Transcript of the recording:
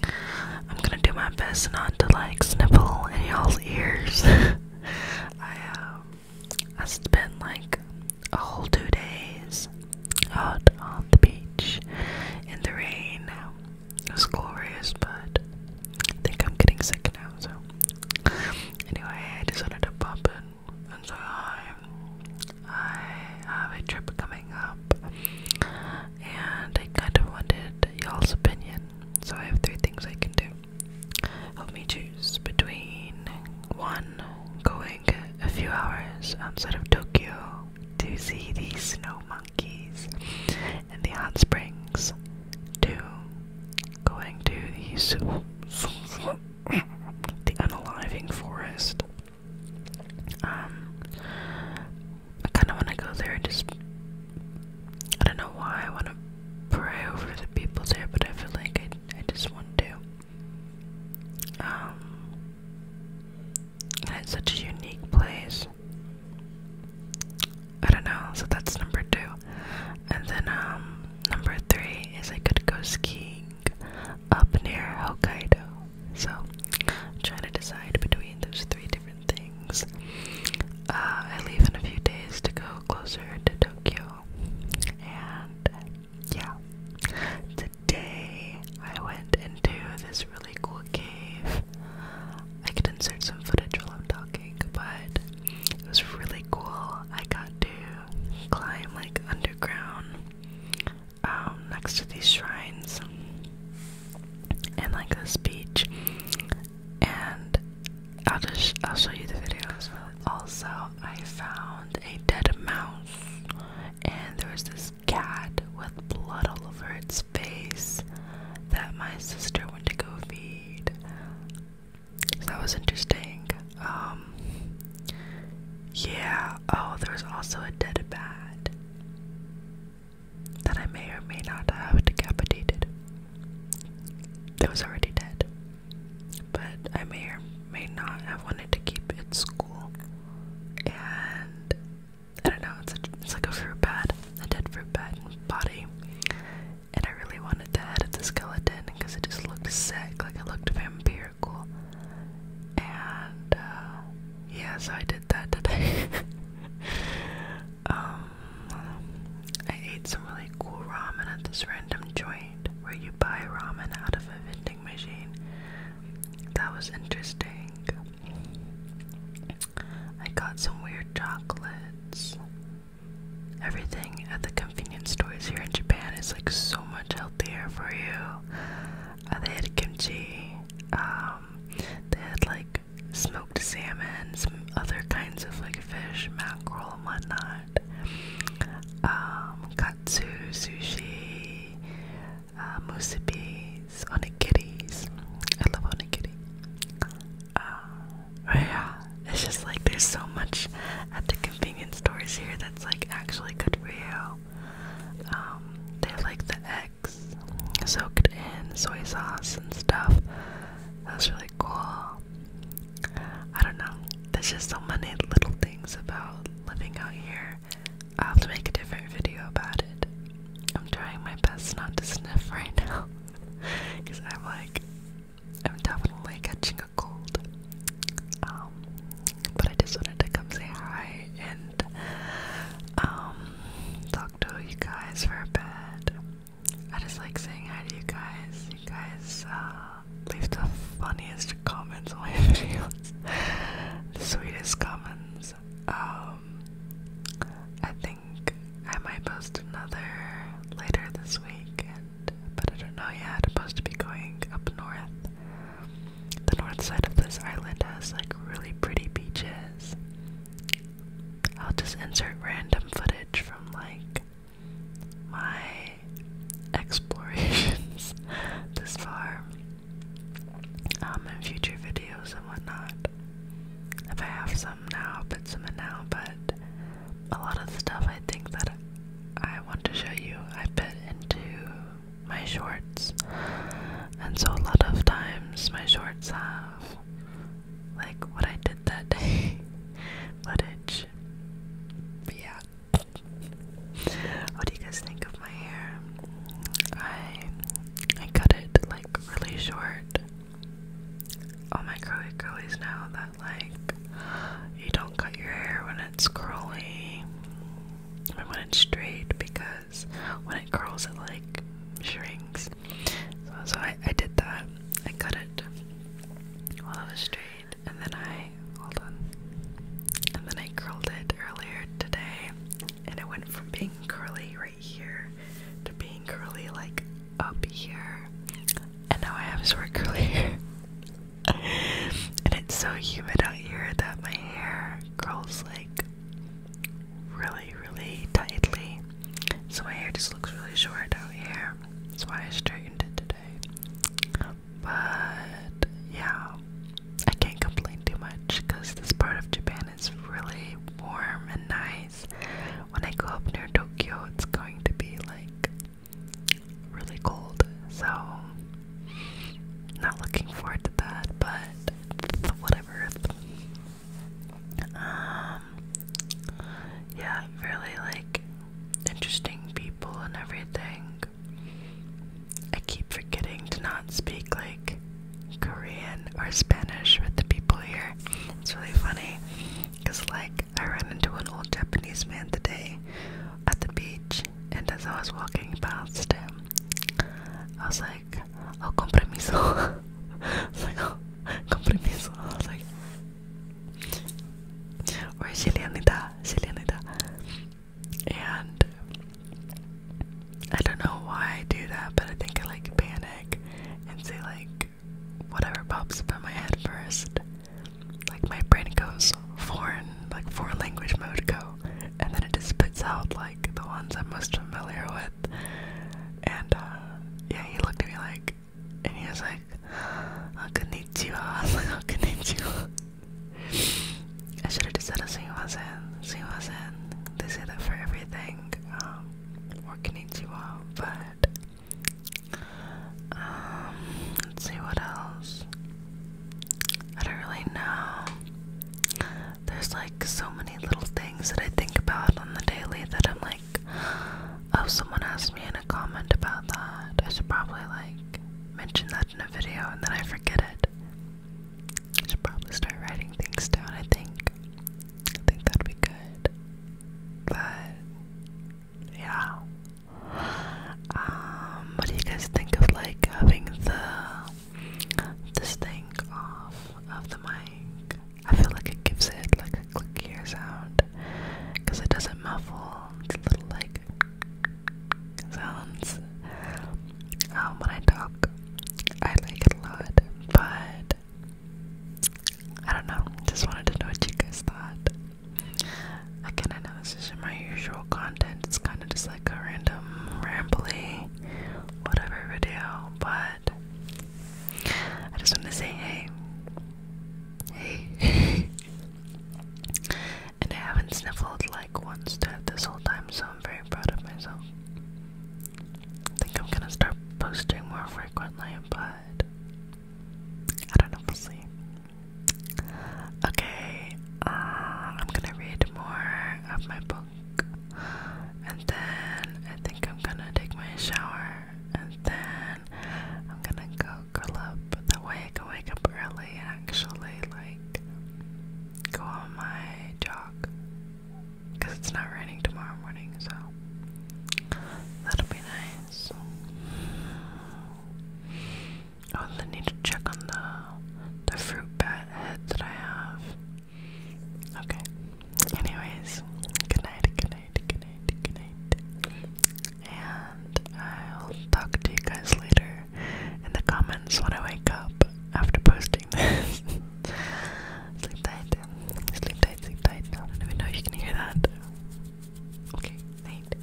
I'm gonna do my best not to like sniffle in y'all's ears. I um, I spent like a whole two days out on the beach in the rain. It was glorious, but I think I'm getting sick now. So anyway, I just wanted to pop in so I, have a trip coming up, and I kind of wanted you opinion. So I have three things I can do. Help me choose between one going a few hours outside of Tokyo to see the snow monkeys and the hot springs. Two, going to the the unaliving forest. Um, I kind of want to go there and just. I don't know why I want to pray over the people there, but I feel like I, I just want to. Um, and it's such a unique place. I don't know, so that's number two. And then, um, Number three is I could go skiing up near Hokkaido. So I'm trying to decide between those three different things. Uh, I leave in a few days to go closer to Tokyo. And yeah, today I went into this really cool cave. I could insert some footage while I'm talking, but it was really cool. I got to climb like underground um, next to these shrines and like this beach. And I'll just I'll show you the videos. Also, I found a dead mouse, and there was this cat with blood all over its face that my sister went to go feed that was interesting. Um, yeah, oh, there was also a dead bat that I may or may not have decapitated. That was already dead, but I may or may not have wanted to keep its cool. And I don't know, it's, it's like a fruit bat, a dead fruit bat body and I really wanted to head of the skeleton because it just looked sick, like it looked vampirical. And uh, I did that um, I ate some really cool ramen at this random joint where you buy ramen out of a vending machine. That was interesting. I got some weird chocolates. Everything at the convenience stores here in Japan is like so much healthier for you. Uh, they had kimchi, um, they had like smoked salmon, some other kinds of like fish, mackerel, and whatnot. Um, katsu, sushi, uh, musubis, onigiri. I love onigiri. Uh, yeah, it's just like there's so much at the convenience stores here that's like actually good for you. Um, they have like the eggs soaked in soy sauce and stuff. That's really cool. I don't know. There's just so many little things about living out here. I'll have to make a different video about it. I'm trying my best not to sniff right now. Because I'm like, I'm definitely catching a cold. Um, but I just wanted to come say hi and um, talk to you guys for a bit. I just like saying hi to you guys. You guys uh, leave the funniest comments on my videos, the sweetest comments. Um, I think. I might post another later this week, but I don't know yet. I'm supposed to be going up north. The north side of this island has like really pretty beaches. I'll just insert random footage from like my explorations this far um, in future videos and whatnot. If I have some now, i put some in now, but a lot of the stuff I think that I want to show you, I put into my shorts. And so a lot of times my shorts have like what I did that day but But yeah. What do you guys think of my hair? I I cut it like really short all oh, my curly curlies now that like you don't cut your hair when it's curly and when it's straight because when it curls it like shrinks. So, I, I did that. I cut it while it was straight and then I hold on. And then I curled it earlier today and it went from being curly right here to being curly like up here. And now I have short curly hair. and it's so humid out here that my hair curls like really, really tightly. So my hair just looks really short out here. That's why I straightened it today. But yeah, I can't complain too much because this part of Japan it's really warm and nice. When I go up near Tokyo, it's going to be like really cold, so not looking forward to that, but whatever. Um, yeah, really like interesting people and everything. I keep forgetting to not speak like Korean or Spanish with the people here. It's really funny because, like, I ran into an old Japanese man today at the beach, and as I was walking past him, I was like, Oh, compromiso. I was like, oh, compromiso. I was like, or Chileanita, Chileanita and I don't know why I do that, but I think I like panic and say like whatever pops up in my head first. Like my brain goes foreign, like foreign language mode go, and then it just spits out like the ones I'm most familiar with. And uh, yeah, he looked at me like, and he was like, I'll you. I was like, you. I should have just said see you was in, see you in. They say that for everything, um, or konnichiwa, but, um, let's see what else. I don't really know. There's like so many little things that I think about on the daily that I'm like, oh, someone asked me in a comment about that. I should probably like mention that in a video and then I forget it. I should probably start writing things down, I think. I think that'd be good. But yeah. Um, what do you guys think of like having the this thing off of the mic? I feel like it gives it like a clickier sound because it doesn't muffle. It's a little like sounds um, when I talk. I like it a lot, but I don't know. Just wanted to know what you guys thought. Again, I know this isn't my usual content. It's kind of just like a random, rambly, whatever video, but I just want to say hey. Hey. and I haven't sniffled like once throughout this whole time, so I'm very proud of myself. I think I'm gonna start posting more frequently, but I don't know, we'll see. Okay, uh, I'm gonna read more of my book, and then I think I'm gonna take my shower, and then I'm gonna go about up. That way I wake up early and actually like go on my jog. Because it's not raining tomorrow morning, so that'll be nice. Oh, need to check on the the fruit bat head that I have. Okay. Anyways, good night, good night, good night, good night. And I'll talk to you guys later in the comments when I wake up after posting this. sleep tight. Sleep tight, sleep tight. I don't even know if you can hear that. Okay, night.